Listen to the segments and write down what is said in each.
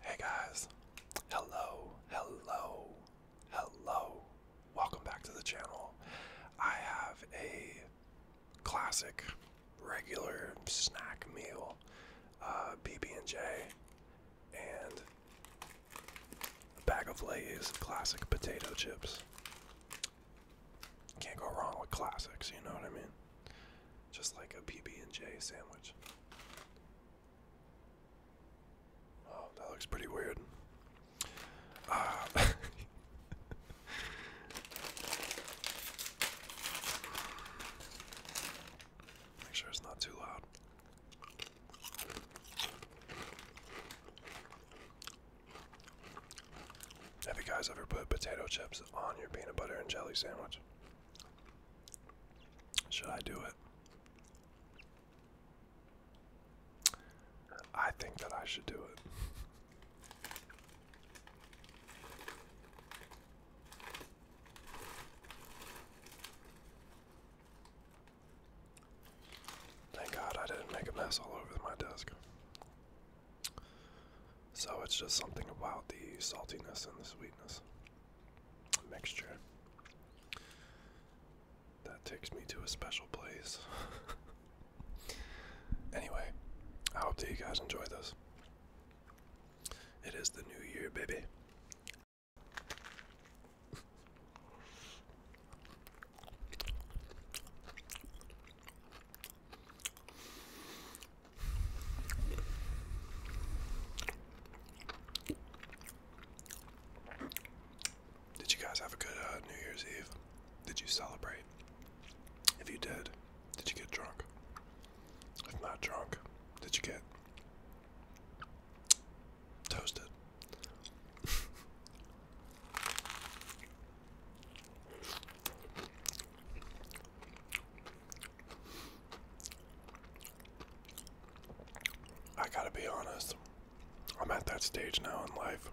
Hey guys, hello, hello, hello. Welcome back to the channel. I have a classic, regular snack meal, uh, BB&J, and a bag of Lay's classic potato chips. Can't go wrong with classics, you know what I mean? just like a PB&J sandwich. Oh, that looks pretty weird. Ah. Make sure it's not too loud. Have you guys ever put potato chips on your peanut butter and jelly sandwich? Should I do it? I think that I should do it. Thank God I didn't make a mess all over my desk. So it's just something about the saltiness and the sweetness mixture that takes me to a special place. anyway, I hope that you guys enjoyed this. It is the new year, baby. Did you guys have a good uh, New Year's Eve? Did you celebrate? If you did, did you get drunk? If not drunk, did you get toasted? I gotta be honest, I'm at that stage now in life.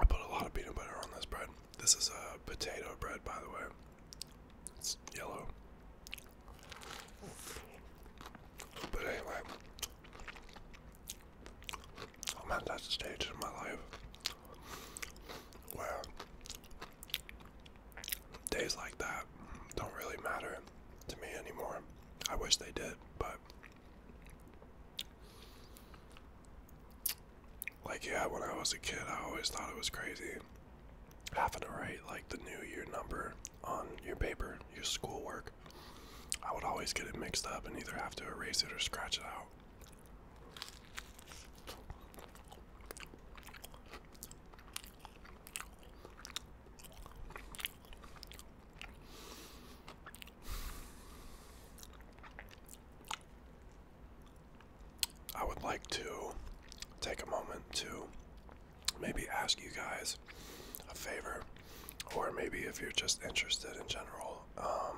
I put a lot of peanut butter on this bread. This is a uh, potato bread, by the way. It's yellow. But anyway, I'm at that stage in my life where days like that don't really matter to me anymore. I wish they did, but like yeah, when I was a kid, I always thought it was crazy having to write like the new year number on your paper, your schoolwork. I would always get it mixed up and either have to erase it or scratch it out. I would like to take a moment to maybe ask you guys a favor or maybe if you're just interested in general, um,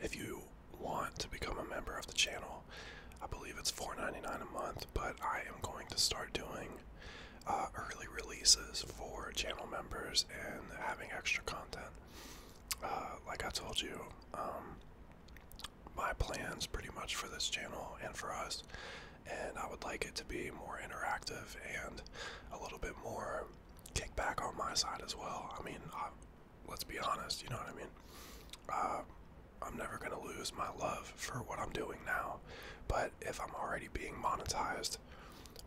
if you want to become a member of the channel, I believe it's $4.99 a month, but I am going to start doing uh, early releases for channel members and having extra content. Uh, like I told you, um, my plans pretty much for this channel and for us and I would like it to be more interactive and a little bit more kickback on my side as well. I mean, let's be honest, you know what I mean? Uh, I'm never going to lose my love for what I'm doing now, but if I'm already being monetized,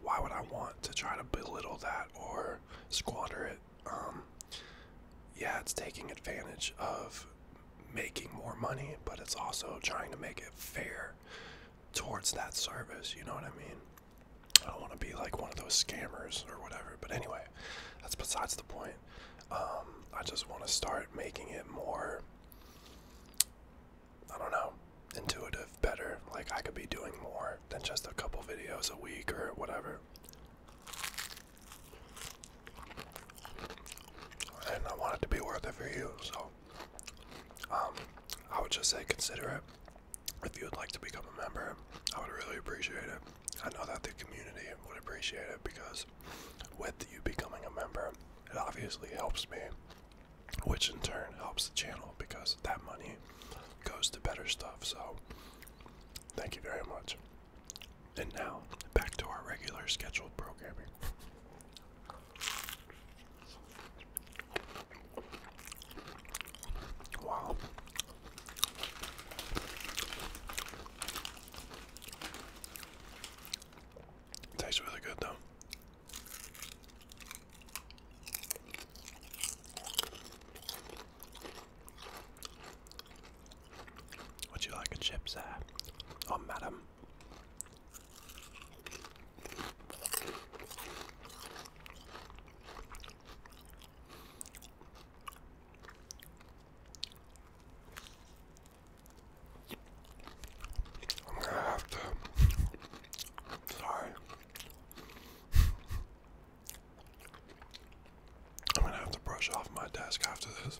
why would I want to try to belittle that or squander it? Um, yeah, it's taking advantage of making more money, but it's also trying to make it fair towards that service. You know what I mean? I don't want to be like one of those scammers or whatever. But anyway, that's besides the point. Um, I just want to start making it more, I don't know, intuitive, better. Like I could be doing more than just a couple videos a week or whatever. And I want it to be worth it for you, so um, I would just say consider it. If you would like to become a member, I would really appreciate it. I know that the community would appreciate it because with you becoming a member, it obviously helps me, which in turn helps the channel because that money goes to better stuff. So, thank you very much. And now, back to our regular scheduled programming. Wow. tastes really good though. Would you like a chip, sir? Or oh, madam? I'm gonna have to. Sorry. I'm gonna have to brush off my desk after this.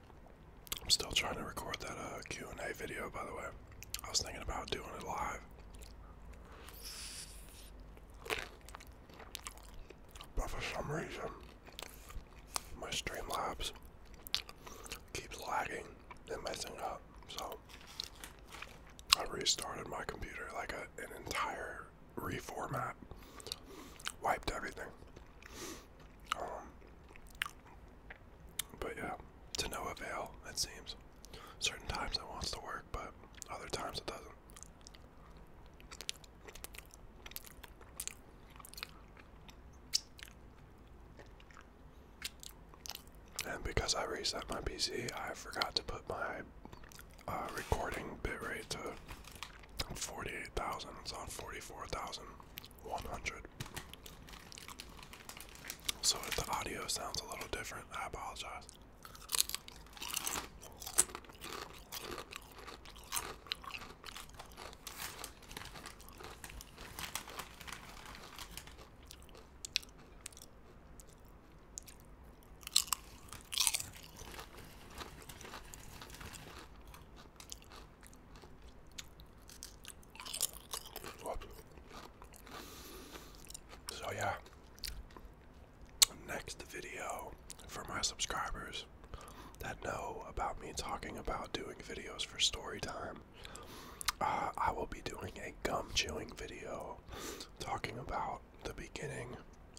I'm still trying to record that uh, Q&A video, by the way. I was thinking about doing it live. But for some reason, my Streamlabs keeps lagging and messing up. So I restarted my computer like an entire reformat, wiped everything. Um, but yeah, to no avail, it seems. Certain times it wants to work, but other times it doesn't. And because I reset my PC, I forgot to put my uh, recording bitrate to 48,000. It's on 44,000. 100. So if the audio sounds a little different, I apologize. So yeah, next video for my subscribers that know about me talking about doing videos for story time, uh, I will be doing a gum chewing video talking about the beginning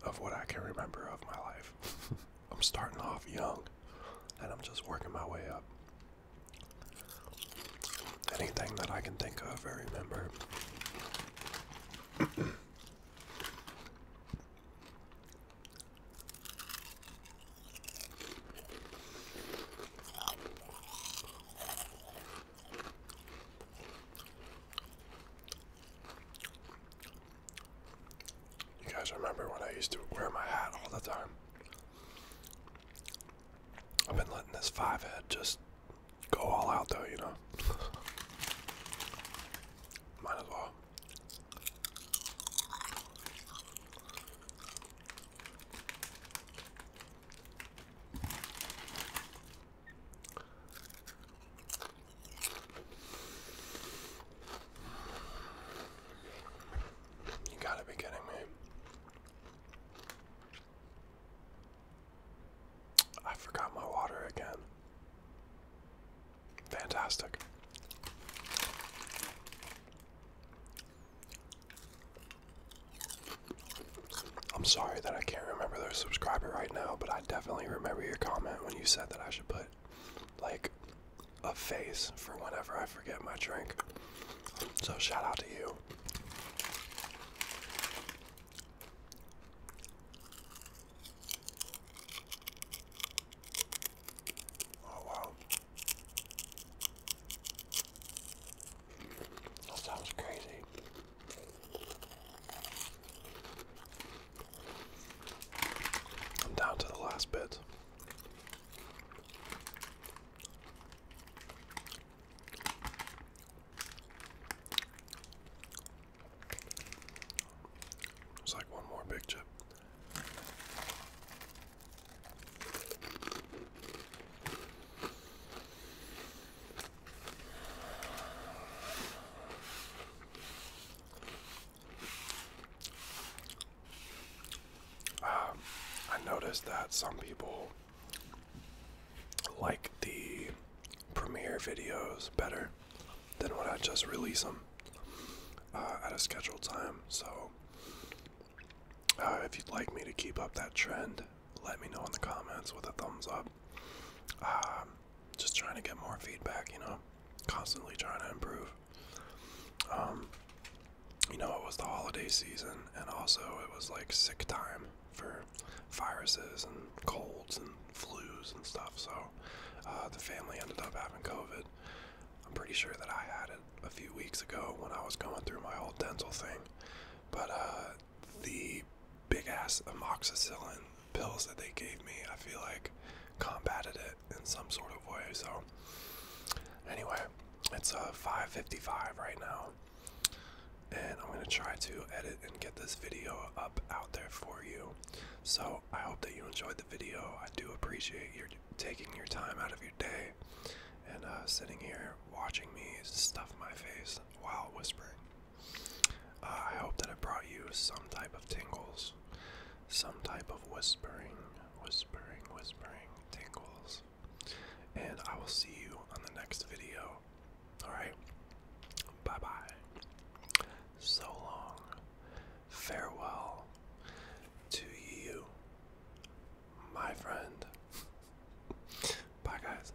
of what I can remember of my life. I'm starting off young and I'm just working my way up. Anything that I can think of, I remember. You guys remember when I used to wear my hat all the time? I've been letting this five head just go all out though, you know? Might as well. You gotta be kidding me. I forgot my water again. Fantastic. I'm sorry that I can't remember their subscriber right now, but I definitely remember your comment when you said that I should put like a face for whenever I forget my drink. So shout out to you. Oh wow. That sounds crazy. I'm down to the last bit. There's like one more big chip. Um, I noticed that some people like the premiere videos better than when I just release them uh, at a scheduled time. So, uh, if you'd like me to keep up that trend, let me know in the comments with a thumbs up. Um, just trying to get more feedback, you know, constantly trying to improve. Um, you know, it was the holiday season, and also it was like sick time for viruses and colds and flus and stuff. So uh, the family ended up having COVID. I'm pretty sure that I had it a few weeks ago when I was going through my whole dental thing, but uh, the big ass amoxicillin pills that they gave me, I feel like combated it in some sort of way. So anyway, it's a uh, 5:55 right now. And I'm going to try to edit and get this video up out there for you. So, I hope that you enjoyed the video. I do appreciate you taking your time out of your day and uh, sitting here watching me stuff my face while whispering. Uh, I hope that it brought you some type of tingles, some type of whispering, whispering, whispering tingles. And I will see you on the next video. Alright? Bye bye. So long. Farewell to you, my friend. bye, guys.